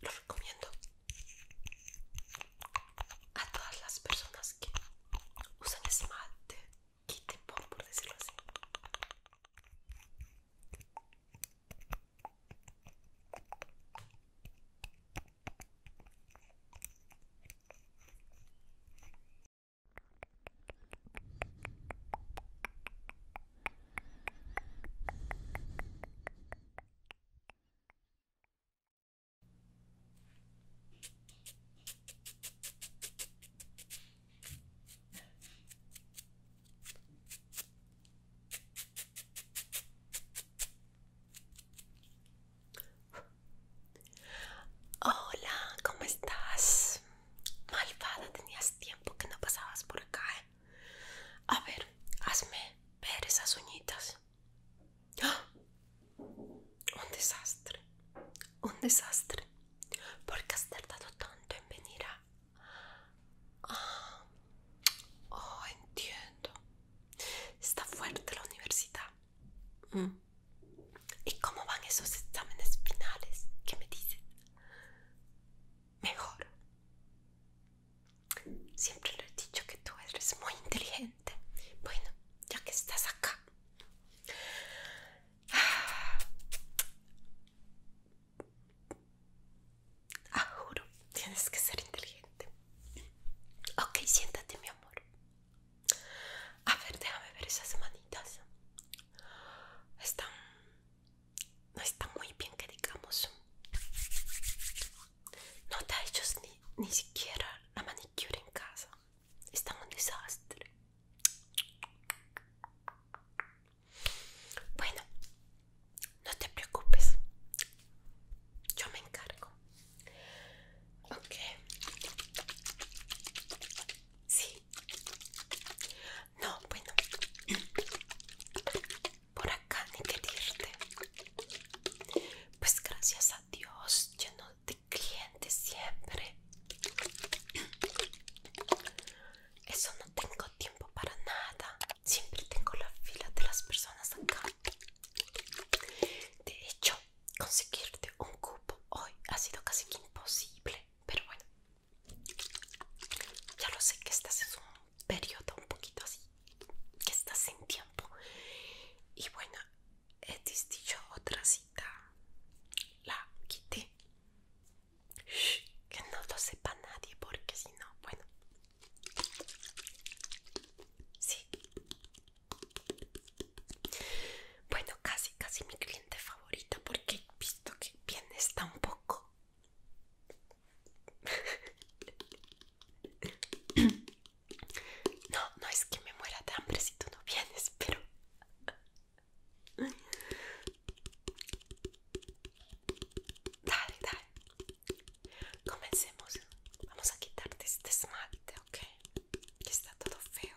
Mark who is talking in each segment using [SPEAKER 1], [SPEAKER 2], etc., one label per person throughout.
[SPEAKER 1] Lo recomiendo a todas las personas que usan esmalte, te pop por decirlo así. Hola, ¿cómo estás? Malvada, tenías tiempo que no pasabas por acá. ¿eh? A ver, hazme ver esas uñitas. ¡Ah! Un desastre, un desastre. porque has tardado tanto en venir a...? oh, entiendo. Está fuerte la universidad. Mm. ¿Y cómo van esos exámenes finales? ¿Qué me dices? mejor. Siempre lo he dicho que tú eres muy inteligente. Bueno, ya que estás acá. Ah, tienes que ser inteligente. Ok, siéntate, mi amor. A ver, déjame ver esas manitas. Están no está muy bien que digamos no te ha hecho ni, siquiera la manicure en casa está un desastre bueno no te preocupes yo me encargo ok sí no, bueno. Por acá ni que Pues gracias a Dios, lleno de clientes siempre. Eso no tengo tiempo para nada. Siempre tengo la fila de las personas acá. De hecho, conseguirte un cupo hoy ha sido casi imposible. Pero bueno, ya lo sé que estás en un periodo un poquito así, que estás sin tiempo. Y bueno, he dicho otra cita, la quité. que no lo sepa nadie, porque si no, bueno. Sí. Bueno, casi, casi mi cliente favorita, porque he visto que bien está un poco no, no es que me muera de hambre si tú no vienes, pero... Dale, dale. Comencemos. Vamos a quitarte este esmalte, ¿ok? Que está todo feo.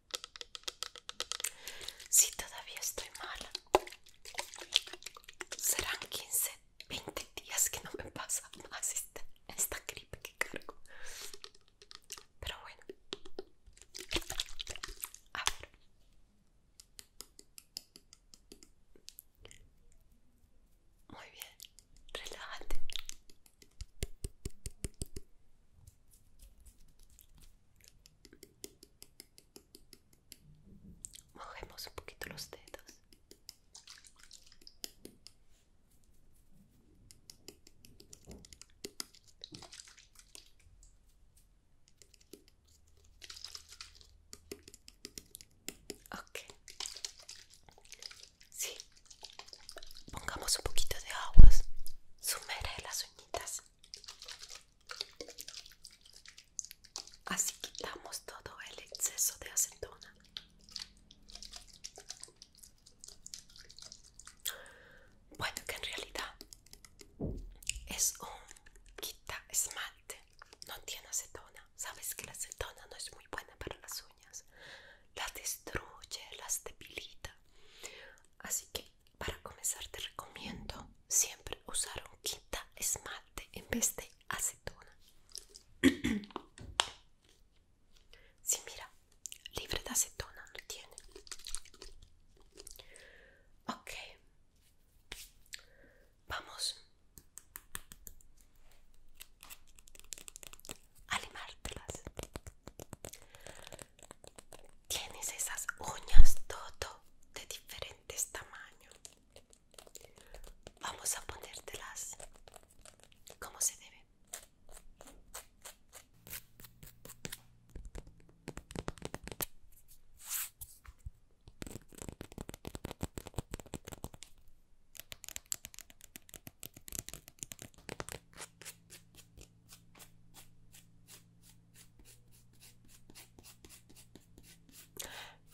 [SPEAKER 1] Si todavía estoy mala, serán 15, 20 días que no me pasa más esta gripe que cargo. Pero bueno, a ver. Muy bien, relájate. Mojemos un poquito los dedos. Ok. Sí. Pongamos un poquito de agua Sumerge las uñitas. Así quitamos todo el exceso de acetona. Bueno, que en realidad es un quita esmalte, no tiene acetona. Sabes que la acetona no es muy buena para las uñas, la destruye, las debilita. Así que para comenzar te recomiendo siempre usar un quita esmalte en vez de acetona. Si sí, mira, libre de acetona lo tiene. Ok, vamos a limártelas. Tienes esas uñas todo de diferentes tamaños. Vamos a ponértelas como se debe.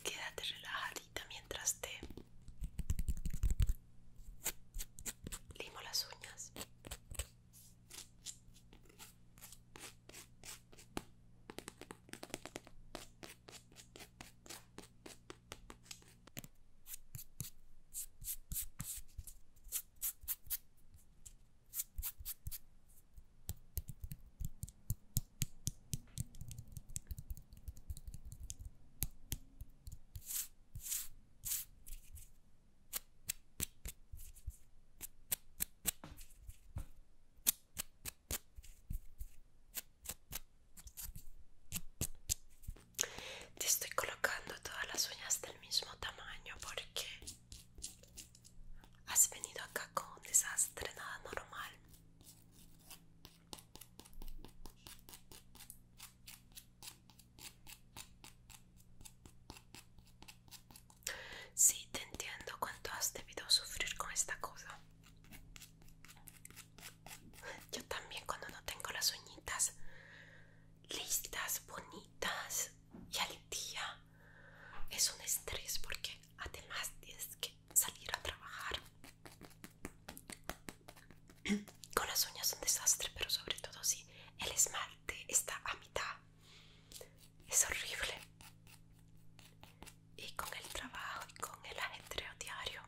[SPEAKER 1] Quédate relajadita mientras te limo las uñas. Te estoy colocando todas las uñas del mismo tamaño porque Has venido acá con desastre nada normal. Sí, te entiendo cuánto has debido sufrir con esta cosa. Yo también cuando no tengo las uñitas listas, bonitas y al día es un estrés porque además tienes que salir a trabajar. Con las uñas un desastre, pero sobre todo si el esmalte está a mitad. Es horrible. Y con el trabajo y con el ajetreo diario,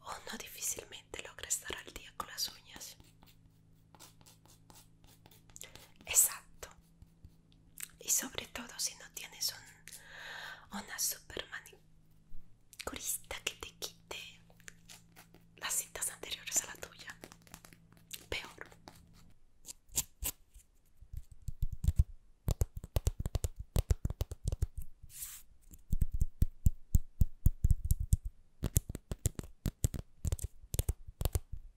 [SPEAKER 1] uno difícilmente logra estar al día con las uñas. Exacto. Y sobre todo si no tienes una super manicurista que te quite las citas anteriores a la tuya. Peor.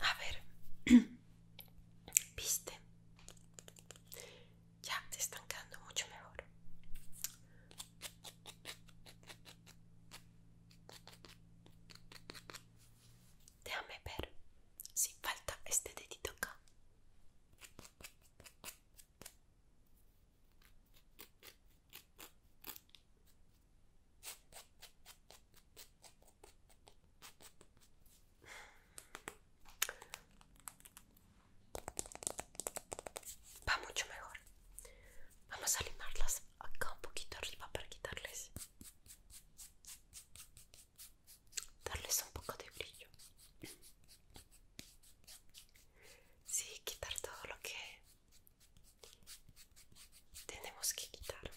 [SPEAKER 1] A ver, viste, ya te están quedando mucho mejor. Déjame ver si falta este dedito acá. Va mucho mejor. Vamos a limarlas acá un poquito arriba para quitarles. Darles un poco de brillo. Sí, quitar todo lo que tenemos que quitar.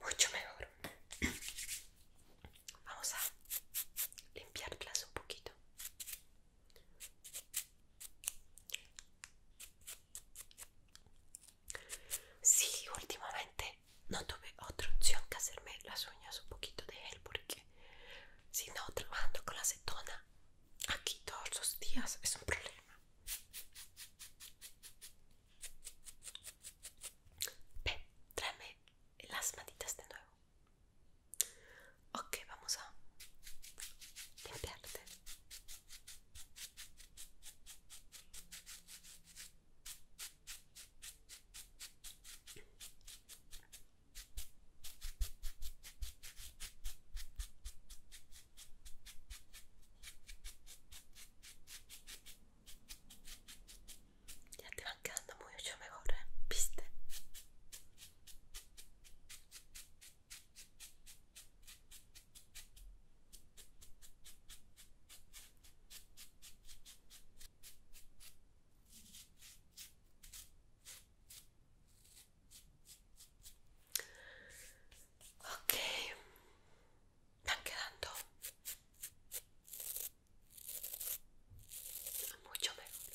[SPEAKER 1] mucho mejor vamos a limpiarlas un poquito Si, últimamente no tuve otra opción que hacerme las uñas un poquito de gel porque si no trabajando con la acetona aquí todos los días es un problema. Ven, tráeme las manitas de nuevo. Ok, vamos a limpiarte. Ya te van quedando mucho mejor, ¿eh? ¿viste? Ok, están quedando mucho mejor.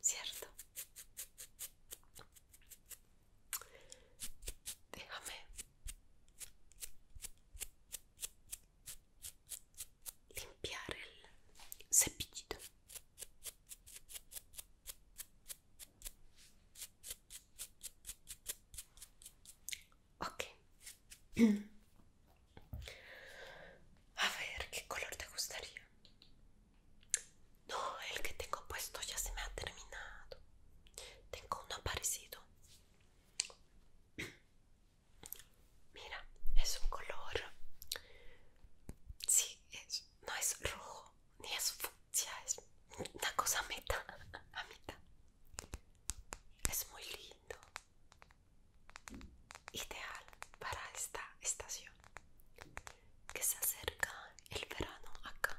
[SPEAKER 1] ¿Cierto? Déjame limpiar el cepillito. Ok. A ver, ¿qué color te gustaría? No, el que tengo puesto ya se me ha terminado. Tengo uno parecido. Mira, es un color. Sí, es, no es rojo ni es fucsia, es una cosa meta, a mitad. Es muy lindo ideal para esta estación que se acerca el verano acá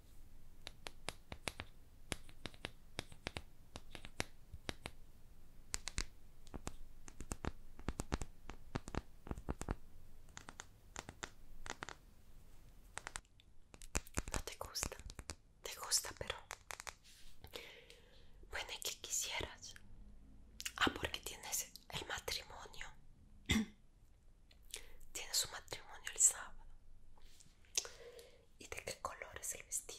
[SPEAKER 1] No te gusta, te gusta, pero bueno, ¿y qué quisieras? Ah, porque tienes el matrimonio. Tiene su matrimonio el sábado. ¿Y de qué color es el vestido?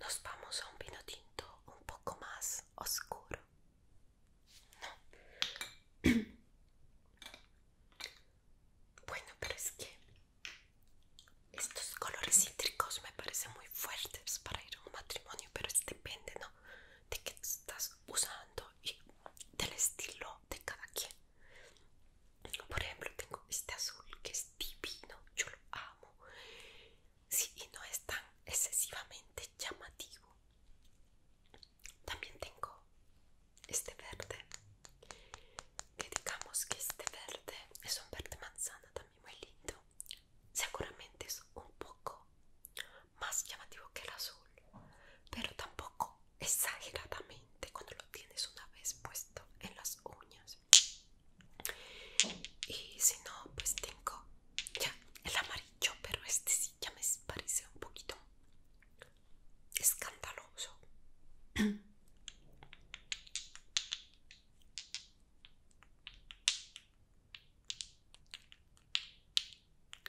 [SPEAKER 1] Nos vamos a un vino tinto um pouco mais oscuro. Bueno, pero es que estos colores cítricos me parecen muy fuertes para ir a un matrimonio, pero depende, ¿no? De qué estás usando y del estilo de cada quien. Por ejemplo, tengo este azul que es divino, yo lo amo. Sí, y no es tan excesivamente llamativo. También tengo este verde que digamos que este verde es un verde manzana también muy lindo seguramente es un poco más llamativo que el azul pero tampoco exageradamente cuando lo tienes una vez puesto en las uñas y si no pues tengo ya el amarillo pero este sí ya me parece un poquito escandaloso.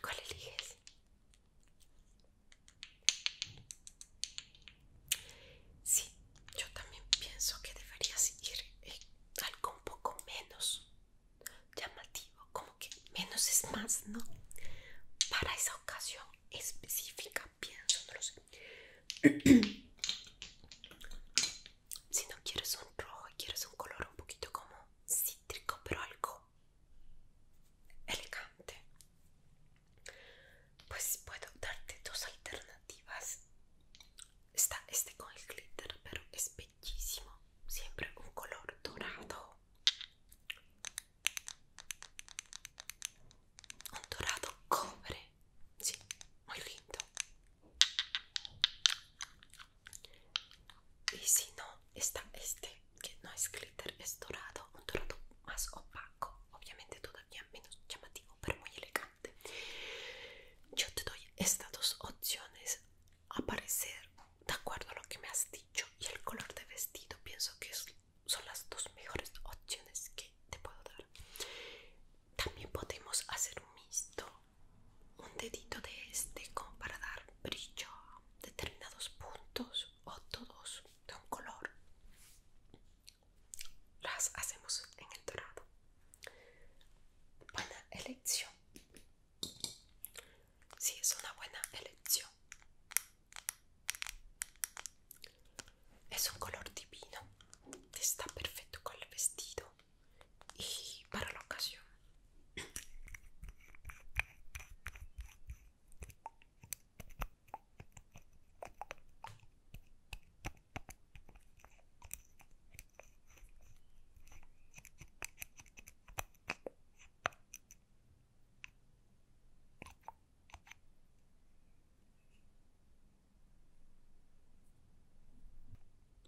[SPEAKER 1] ¿Cuál eliges? Sí, yo también pienso que debería seguir eh, algo un poco menos llamativo, como que menos es más, ¿no? Para esa ocasión específica no sé. si no quieres un rojo, quieres un color un poquito como cítrico, pero algo elegante. Pues puedo darte dos alternativas. Está este con el glitter, pero es bellísimo. Siempre un color dorado un dorado cobre, sí, muy lindo. Y si no, está este, que no es glitter, es dorado, un dorado más opaco, obviamente todavía menos llamativo, pero muy elegante. Yo te doy estas dos opciones aparecer de acuerdo a lo que me has dicho y el color de vestido pienso que son las dos mejores opciones que te puedo dar también podemos hacer un mixto un dedito de este como para dar brillo a determinados puntos o todos de un color las hacemos en el dorado buena elección si sí, es una buena elección es un color divino, está perfecto con el vestido y para la ocasión.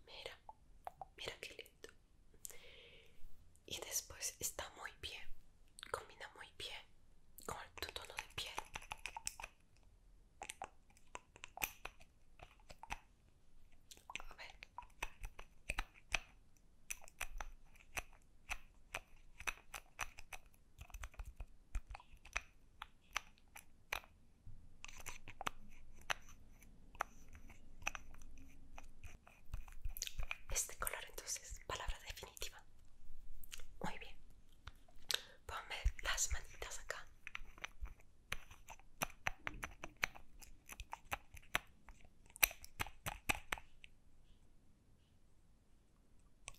[SPEAKER 1] Mira, mira qué lindo. Y después está muy bien, combina muy bien con tu tono de piel. A ver. Este color entonces, palabra definitiva. Muy bien. Ponme las manitas acá.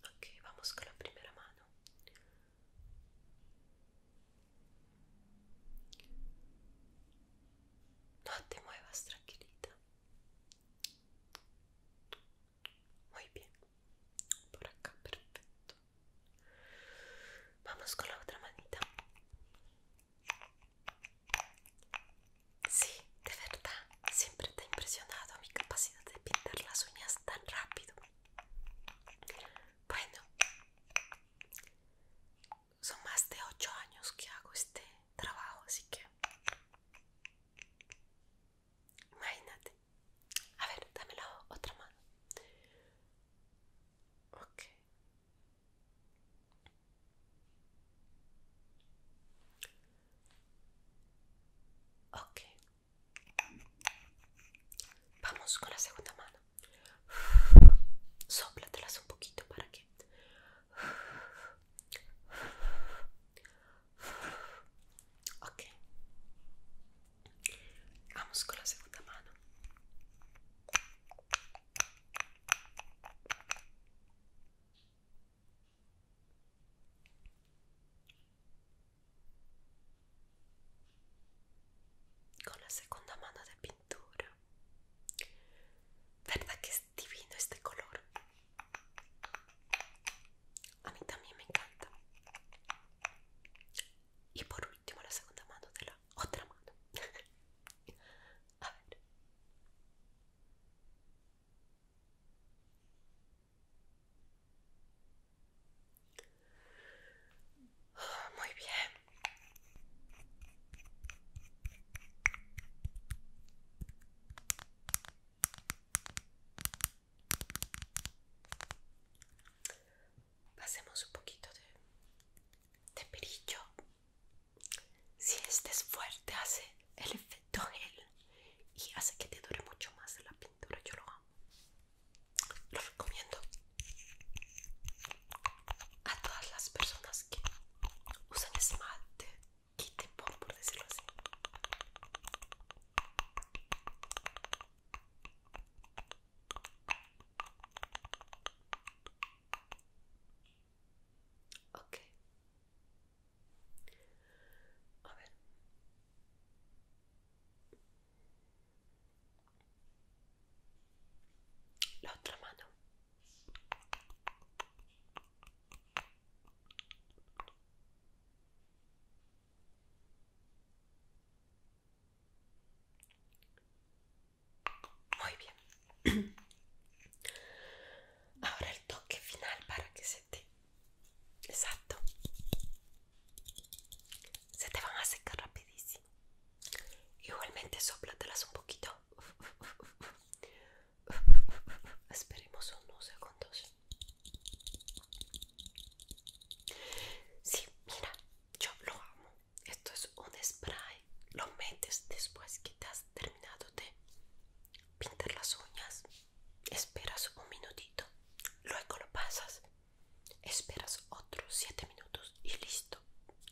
[SPEAKER 1] Ok, vamos con la primera mano. No te muevas, tranquilita. Muy bien. Por acá, perfecto. Vamos con la otra manita. Sí, de verdad, siempre te ha impresionado mi capacidad de pintar las uñas tan rápido. Bueno, son más de ocho años que hago este trabajo, así que... Imagínate. A ver, dame la otra mano. Ok. Ok. Vamos con la segunda mano. soplatelas un poquito para que... Ok. Vamos con la segunda mano con la segunda mano de pintura verdad que es divino este color a mí también me encanta y por último la segunda mano de la otra mano a ver muy bien. Hacemos un poquito de, de perillo. Si este es fuerte, hace el efecto todo y hace que te dure mucho más la pintura. Yo lo amo. Lo recomiendo a todas las personas que usan esmalte, quite por, por decirlo así. Ok, a ver. La otra mano. Muy bien. ahora el toque final para que se te exacto se te van a secar rapidísimo igualmente sóplatelas un poquito esperemos unos segundos sí mira yo lo amo esto es un spray lo metes después que te has terminado de pintar las uñas, esperas un minutito, luego lo pasas, esperas otros 7 minutos y listo,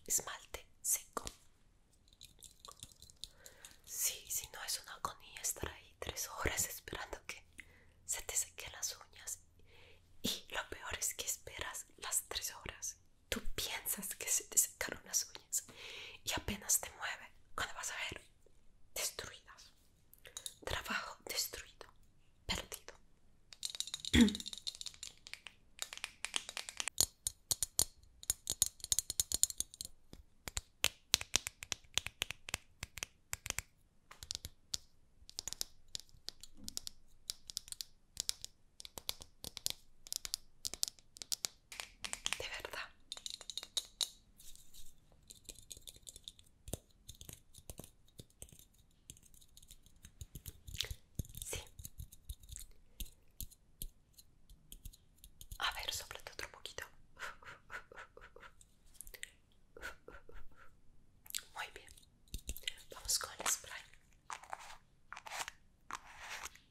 [SPEAKER 1] esmalte seco. Sí, si no es una agonía estar ahí 3 horas esperando que se te sequen las uñas y lo peor es que esperas las 3 horas. Tú piensas que se te secaron las uñas y apenas te mueve cuando vas a ver destruidas. Trabajo destruido, perdido de verdad. Sí. A ver, todo un poquito. Muy bien. Vamos con el spray.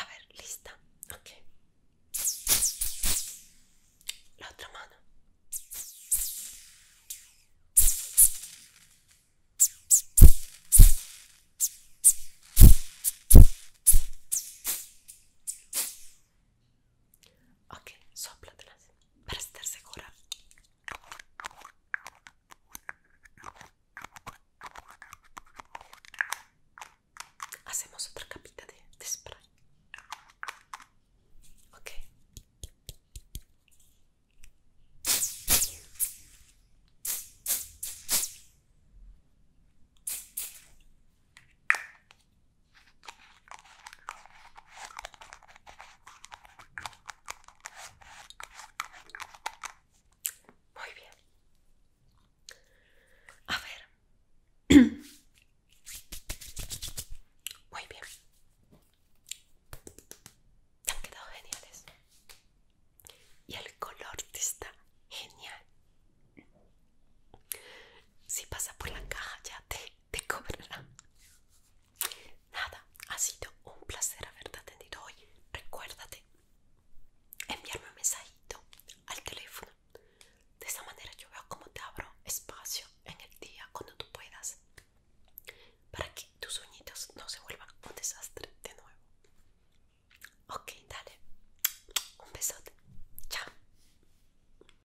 [SPEAKER 1] A ver, lista. Ok. La otra mano. Ok, las. para estar segura. Hacemos otra capita de, de spray. Ok. Muy bien. A ver. Muy bien. Te han quedado geniales. Y el color está genial. Si pasa por la caja ya te te cobrará. Nada, ha sido un placer haberte atendido hoy. Recuérdate enviarme un mensajito al teléfono. De esa manera yo veo cómo te abro espacio en el día cuando tú puedas. Para que tus sueñitos no se vuelvan un desastre de nuevo. Ok, dale. Un besote. Chao.